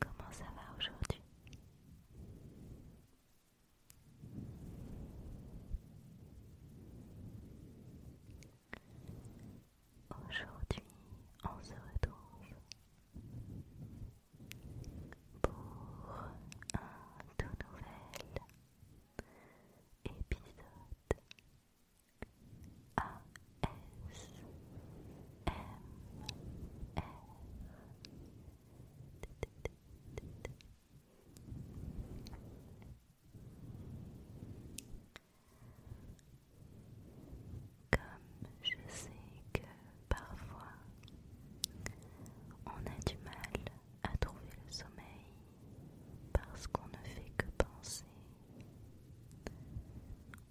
Comment ça va aujourd'hui Aujourd'hui, on se retrouve pour un tout nouvel épisode comme je sais que parfois on a du mal à trouver le sommeil parce qu'on ne fait que penser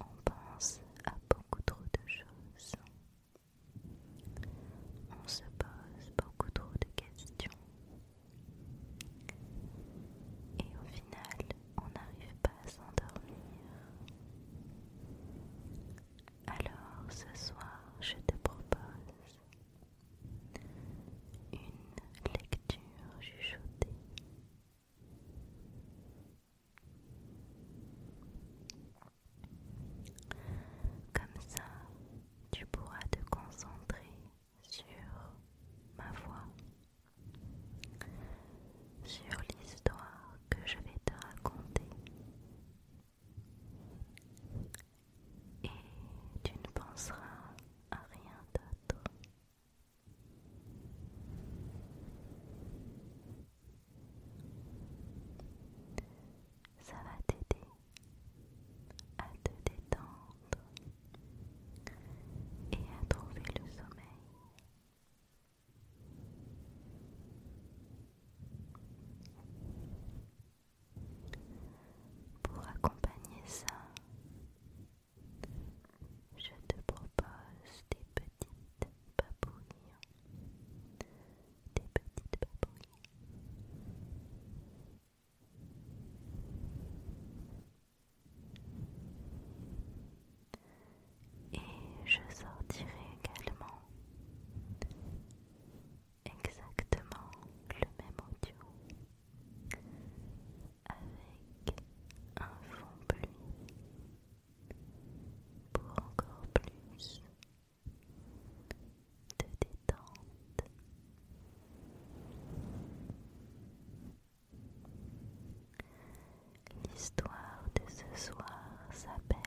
on pense à beaucoup trop de choses. On se pose beaucoup trop de questions. Et au final, on n'arrive pas à s'endormir. Alors ce soir, je te propose une lecture chuchotée comme ça, tu pourras te concentrer sur ma voix, sur l'histoire que je vais te raconter. Et tu ne penseras à rien d'autre. Ça va t'aider à te détendre et à trouver le sommeil. Pour accompagner ça, je te propose des petites papouilles. Des petites papouilles. Et je sortirai également exactement le même audio avec un fond pluie pour encore plus de détente. L'histoire de ce soir s'appelle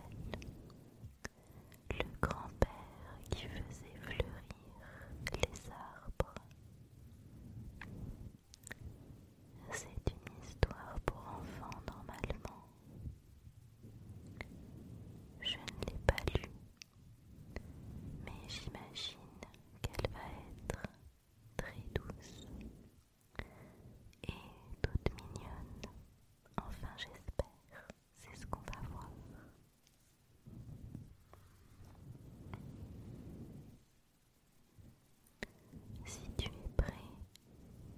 Le grand-père qui faisait fleurir les arbres. C'est une histoire pour enfants normalement. Je ne l'ai pas lue, mais j'imagine qu'elle va être très douce et toute mignonne. Enfin j'espère, c'est ce qu'on va voir. Si tu es prêt,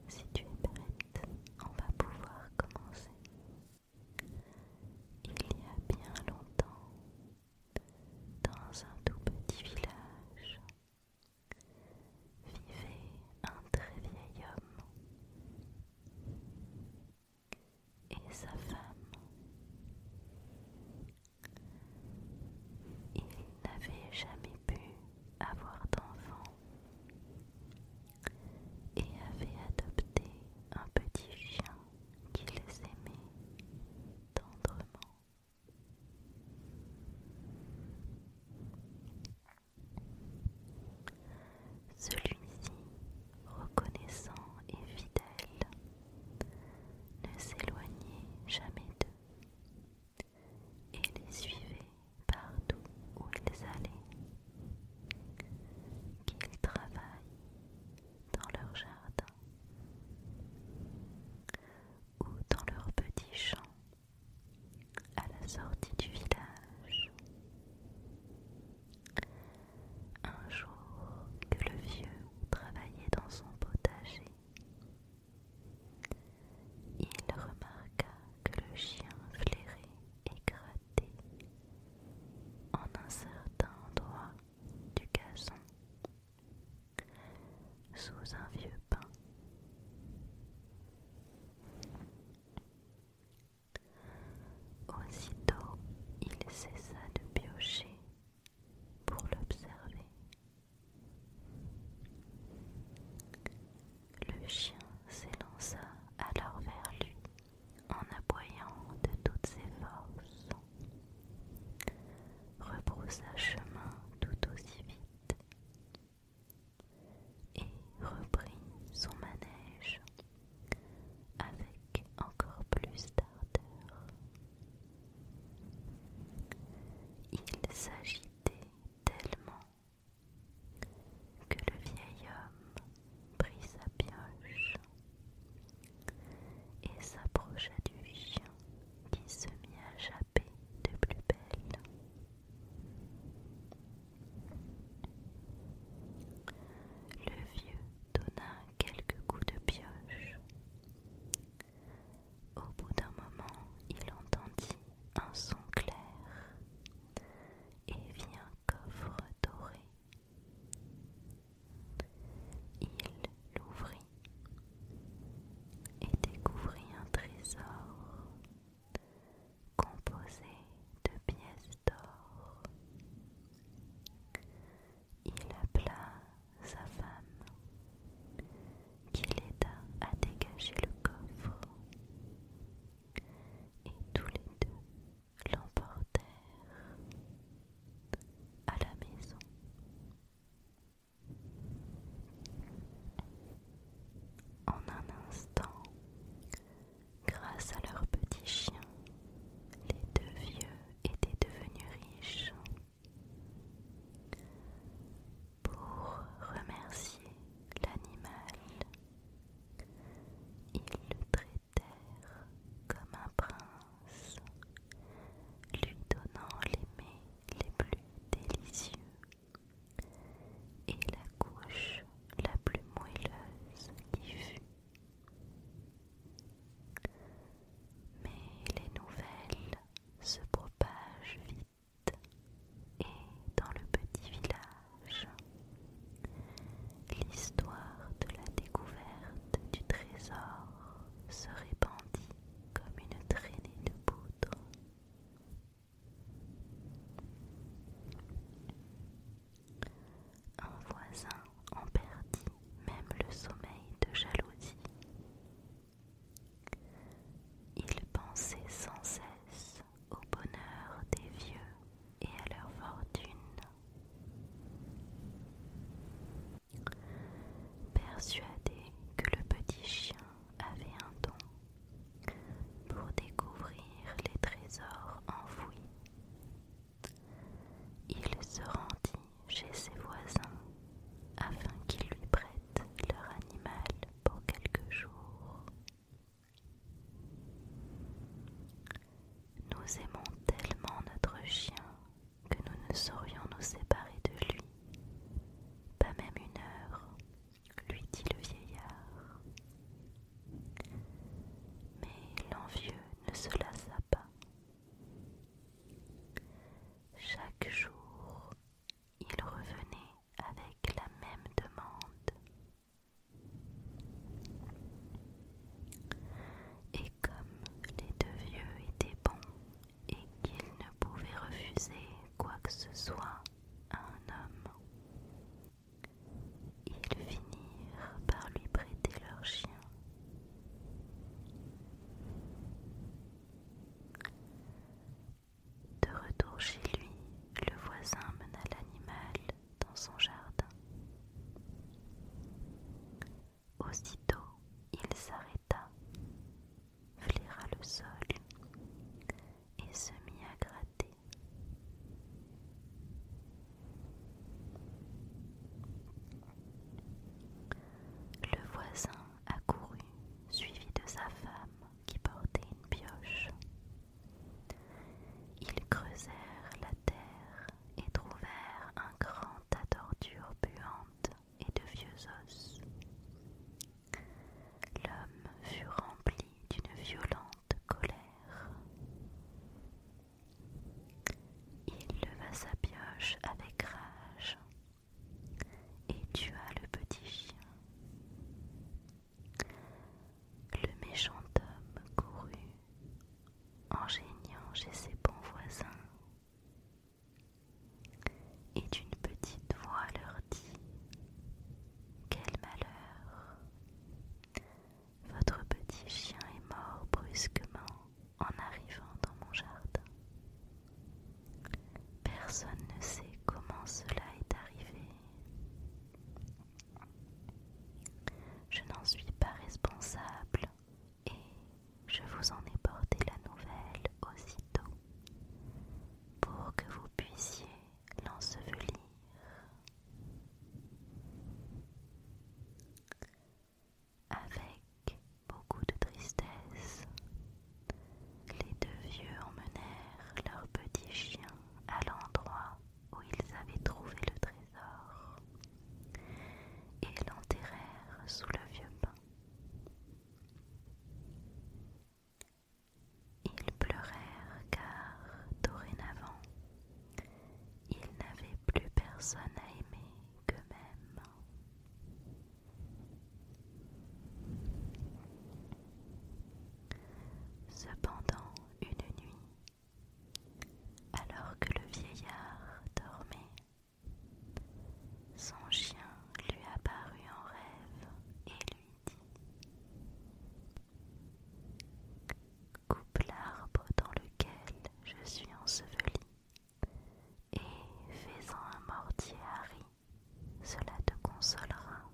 si tu es prête, on va pouvoir commencer. Il y a bien longtemps, dans un tout petit village, vivait un très vieil homme et sa femme. Il n'avait jamais pu avoir d'enfant et avait adopté un petit chien qui les aimait tendrement. Celui-ci, reconnaissant et fidèle, ne s'éloignez jamais d'eux et les suivez partout où ils allaient, qu'ils travaillent dans leur jardin ou dans leur petit champ à la sortie du village. Un jour que le vieux travaillait dans son potager, il remarqua que le chien flairait et grattait en un certain endroit du gazon sous un vieux pain. Aussitôt, il cessa de piocher pour l'observer. Le chien s'élança alors vers lui en aboyant de toutes ses forces, rebroussa chemin tout aussi vite et reprit son manège avec encore plus d'ardeur. Il s'agitait tellement que le vieil homme prit sa pioche et s'approcha du chien qui se mit à japper de plus belle. Le vieux donna quelques coups de pioche. Au bout d'un moment, il entendit un son clair et vit un coffre doré. Il l'ouvrit et découvrit un trésor composé de pièces d'or il appela sa femme, qui l'aida à dégager le coffre, et tous les deux l'emportèrent à la maison. En un instant, grâce à leur petit chien, les deux vieux était devenu riche. Pour remercier l'animal, ils le traitèrent comme un prince, lui donnant les mets les plus délicieux et la couche la plus moelleuse qui fut. Mais les nouvelles se propagent vite et dans le petit village, l'histoire de la découverte du trésor se répandit comme une traînée de poudre un voisin en perdit même le sommeil de jalousie. Il pensait sans cesse au bonheur des vieux et à leur fortune. Persuadé que le petit chien avait un don pour découvrir les trésors enfouis, il se rendit chez ses voisins afin qu'ils lui prêtent leur animal pour quelques jours. Nous aimons tellement notre chien que nous ne saurions nous séparer de lui, pas même une heure, lui dit le vieillard. Mais l'envieux ne se lassa pas chaque jour, ils revenait avec la même demande. Et comme les deux vieux étaient bons et qu'ils ne pouvaient refuser quoi que ce soit à un homme, ils finirent par lui prêter leur chien de retour chez lui, le voisin mena l'animal dans son jardin. Aussitôt, il s'arrêta, flaira le sol et se mit à gratter. Le voisin accourut, suivi de sa femme qui portait une pioche. Ils creusèrent la terre et trouvèrent un grand tas d'ordures puantes et de vieux os. L'homme fut rempli d'une violente colère. Il leva sa pioche avec rage et tua le petit chien. Le méchant homme courut en geignant chez ses bons voisins et d'une petite voix leur dit Quel malheur votre petit chien est mort brusquement en arrivant dans mon jardin. Personne ne sait comment cela est arrivé. Je n'en suis pas responsable et je vous en ai porté la nouvelle aussitôt pour que vous puissiez l'ensevelir. Avec beaucoup de tristesse, les deux vieux emmenèrent leur petit chien à l'endroit où ils avaient trouvé le trésor et l'enterrèrent sous le vieux pin. Ils pleurèrent car dorénavant il n'avait plus personne à aimer qu'eux-mêmes. Cependant, une nuit, alors que le vieillard dormait, son chien lui apparut en rêve et lui dit coupe l'arbre dans lequel je suis enseveli et fais-en un mortier à riz, cela te consolera.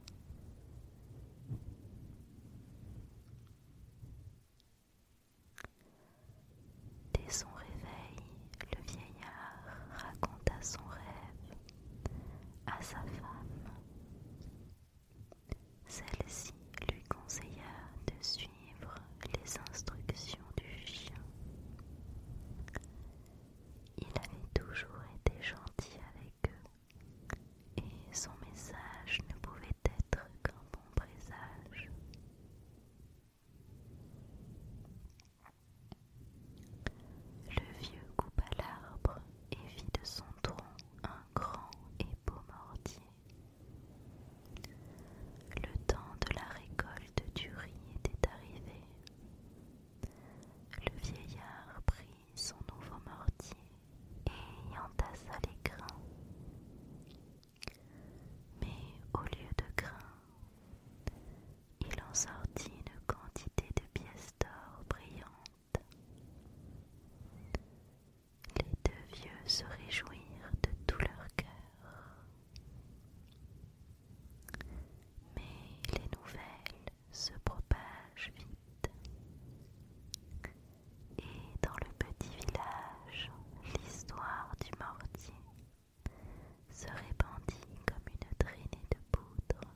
Dès son réveil, le vieillard raconta son rêve à sa femme celle ci lui conseilla de suivre les instructions du chien. Il avait toujours été gentil avec eux et son message ne pouvait être qu'un bon présage. Le vieux coupa l'arbre et vit de son tronc un grand et beau mortier. Le temps de la récolte du riz était arrivé. Le vieillard prit son nouveau mortier et y entassa les grains. Mais au lieu de grains, il en sortit une quantité de pièces d'or brillantes les deux vieux se réjouirent de tout leur cœur. Mais les nouvelles se propagent vite. Et dans le petit village, l'histoire du mortier se répandit comme une traînée de poudre.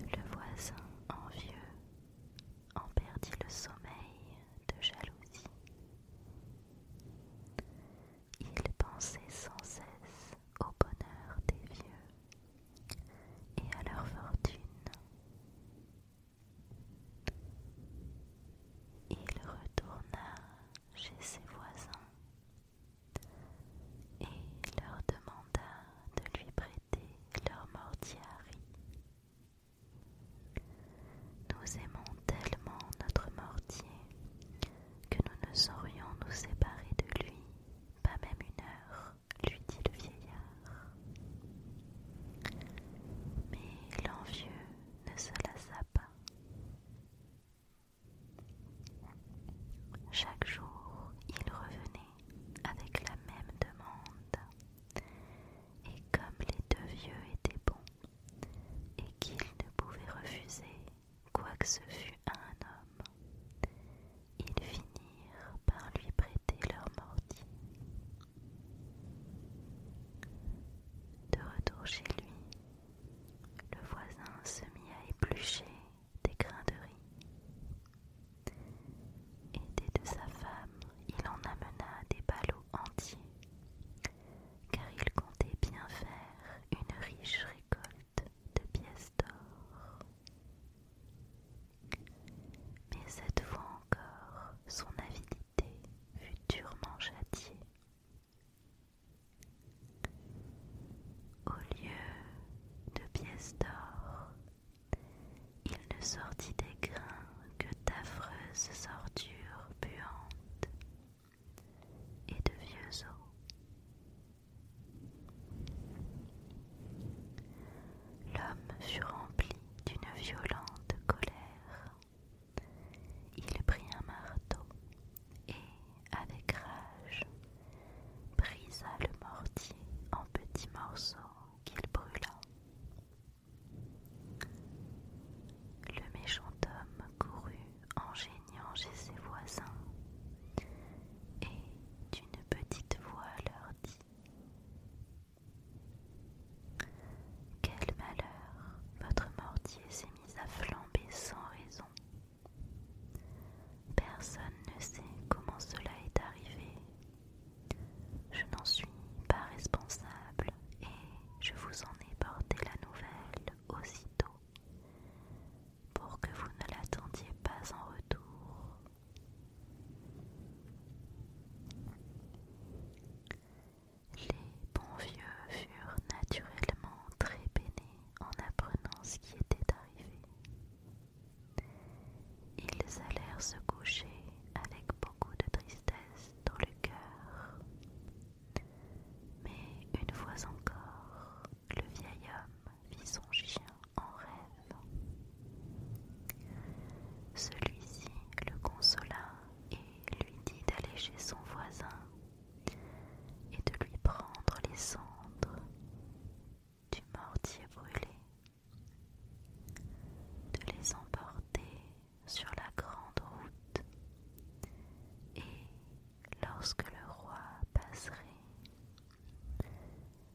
Le voisin envieux en perdit le sommeil de jalousie. Il pensait sans cesse au bonheur des vieux et à leur fortune. Il retourna chez ses voisins et leur demanda de lui prêter mortier Nous aimons tellement notre mortier que nous ne saurions nous séparer de lui, pas même une heure, lui dit le vieillard. Mais l'envieux ne se lassa pas. Chaque jour, il revenait avec la même demande. Et comme les deux vieux étaient bons, et qu'ils ne pouvaient refuser quoi que ce fût à un homme, ils finirent par lui prêter leur mortier. De retour chez lui, le voisin se mit à éplucher des grains de riz. Aidé de sa femme, il en amena des ballots entiers, car il comptait bien faire une riche récolte de pièces d'or. Mais cette fois encore, son avidité fut durement châtiée. Au lieu de pièces d'or, il ne sortit des grains que d'affreuses sortures buantes et de vieux os. L'homme fut rempli d'une violente colère. Il prit un marteau et, avec rage, brisa le mortier en petits morceaux qu'il brûla. Le méchant homme courut en geignant chez ses voisins et d'une petite voix leur dit Quel malheur, votre mortier s'est mis à flamber sans raison. Personne ne sait comment cela est arrivé. Je n'en suis pas responsable et je vous en ai porté la nouvelle aussitôt pour que vous ne l'attendiez pas en retour. Les bons vieux furent naturellement très peinés en apprenant ce qui était arrivé. Ils allèrent se coucher avec beaucoup de tristesse dans le cœur. Mais une fois encore, le vieil homme vit son chien en rêve. Celui-ci le consola et lui dit d'aller chez son voisin et de lui prendre les cendres du mortier brûlé, de les emporter sur la grande route, et lorsque le roi passerait,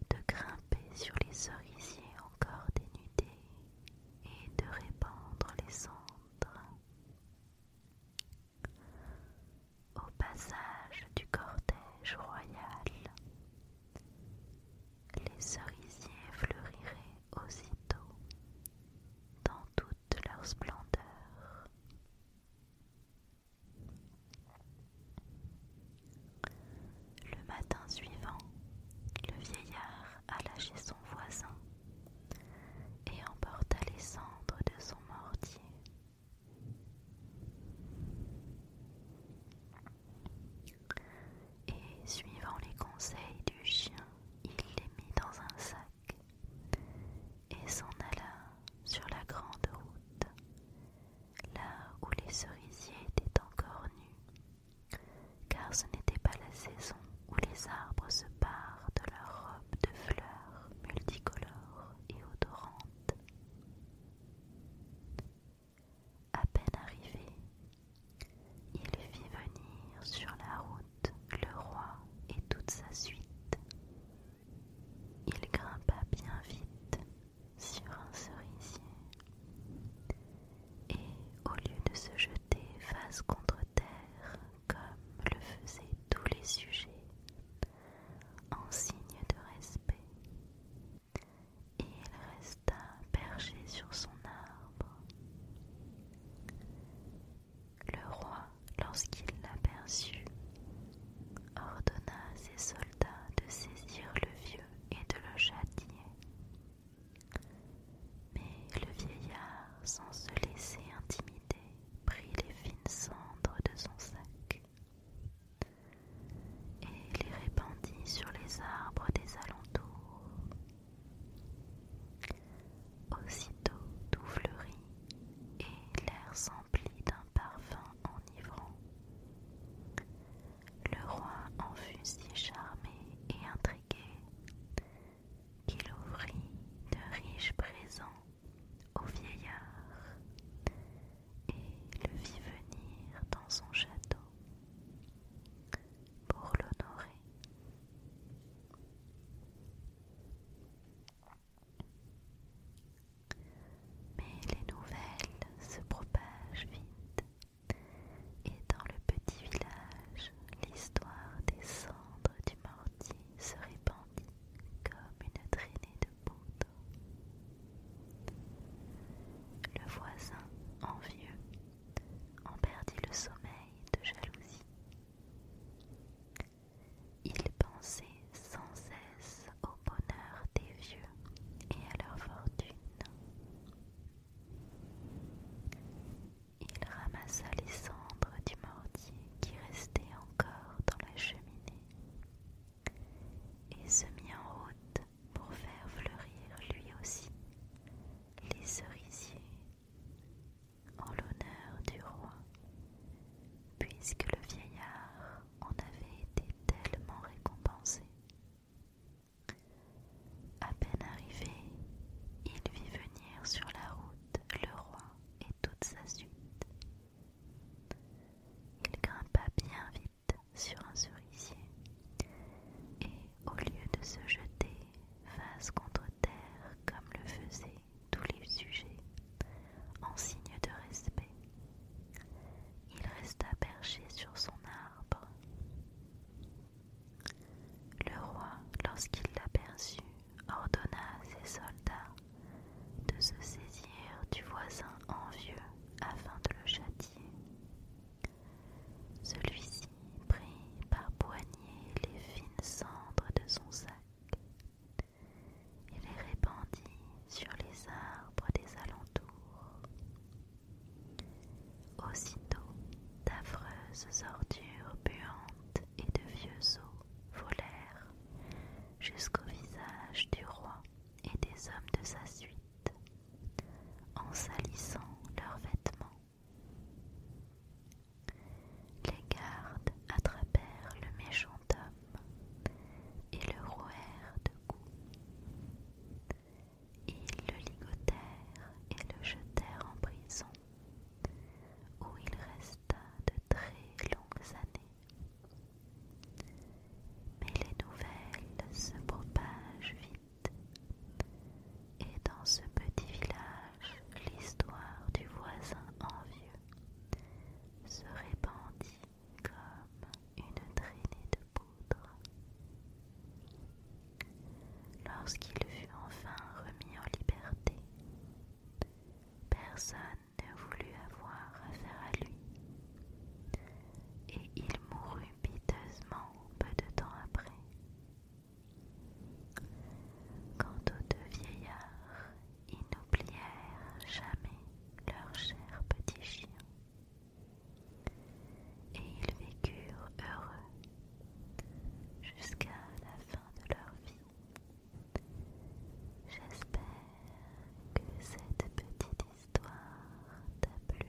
de grimper sur les cerisiers encore dénudés et de répandre les cendres au passage du cortège royal. Les cerisiers fleuriraient aussitôt dans toute leur splendeur. Le matin suivant, le vieillard alla chez son voisin et emporta les cendres de son mortier. Et suivant les conseils du chien, il les mit dans un sac et s'en alla sur la grande route, là où les cerisiers étaient encore nus, car ce n'était pas la saison où les arbres se parent de leurs robes de fleurs multicolores et odorantes. À peine arrivé, il fit venir sur la route le roi et toute sa suite. Il grimpa bien vite sur un cerisier et au lieu de se jeter face contre terre comme le faisaient tous les sujets, en signe de respect, et il resta perché sur son arbre. Le roi, lorsqu'il l'aperçut, ordonna à ses soldats de saisir le vieux et de le châtier. Mais le vieillard, sans se laisser intimider, prit les fines cendres de son sac et les répandit sur les arbres des alentours. Aussitôt tout fleurit et l'air s'emplit d'un parfum enivrant. Le roi en fut si charmé et intrigué qu'il ouvrit de riches présents au vieillard et le vit venir dans son château pour l'honorer. Mais les nouvelles se propagent vite et dans le petit village, l'histoire des cendres du mortier se répandit comme une traînée de poudre. Le voisin, envieux, en perdit le sommeil de jalousie. Il pensait sans cesse au bonheur des vieux et à leur fortune. Il ramassa les cendres du mortier qui restaient encore dans la cheminée et se mit en route pour faire fleurir lui aussi les cerisiers en l'honneur du roi, puisque le vieillard en avait été tellement récompensé. À peine arrivé, il vit venir sur la route le roi et toute sa suite. Il grimpa bien vite sur un cerisier et, au lieu de se jeter face contre terre comme le faisaient tous les sujets, en signe de respect, il resta perché sur son arbre. Le roi, lorsqu'il l'aperçut, ordonna à ses soldats de se saisir du voisin envieux afin de le châtier. Celui-ci prit par poignée les fines cendres de son sac et les répandit sur les arbres des alentours. Aussitôt, d'affreuses ordures buantes et de vieux os volèrent jusqu'au visage du roi et des hommes de sa suite, en salissant leurs vêtements. Les gardes attrapèrent le méchant homme et le rouèrent de coups. Ils le ligotèrent et le jetèrent en prison, où il resta de très longues années. Mais les nouvelles se propagent vite. Et dans ce petit village, l'histoire du voisin envieux se répandit comme une traînée de poudre. Lorsqu'il fut enfin remis en liberté, personne ne voulu avoir affaire à lui. Et il mourut piteusement peu de temps après. Quant aux deux vieillards, ils n'oublièrent jamais leur cher petit chien. Et ils vécurent heureux jusqu'à la fin de leur vie. J'espère que cette petite histoire t'a plu.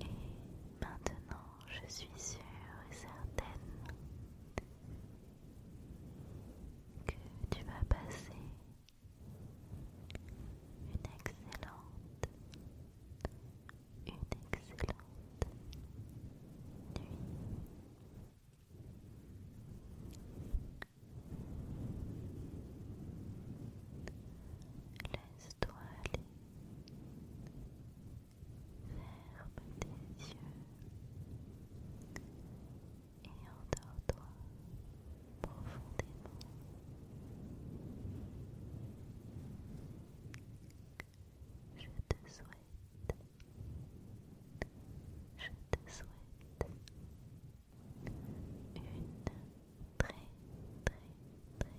Et maintenant, je suis sûre et certaine que tu vas passer une excellente, une excellente nuit. Laisse-toi aller. Ferme tes yeux et endors-toi profondément. Je te souhaite, je te souhaite une très très très très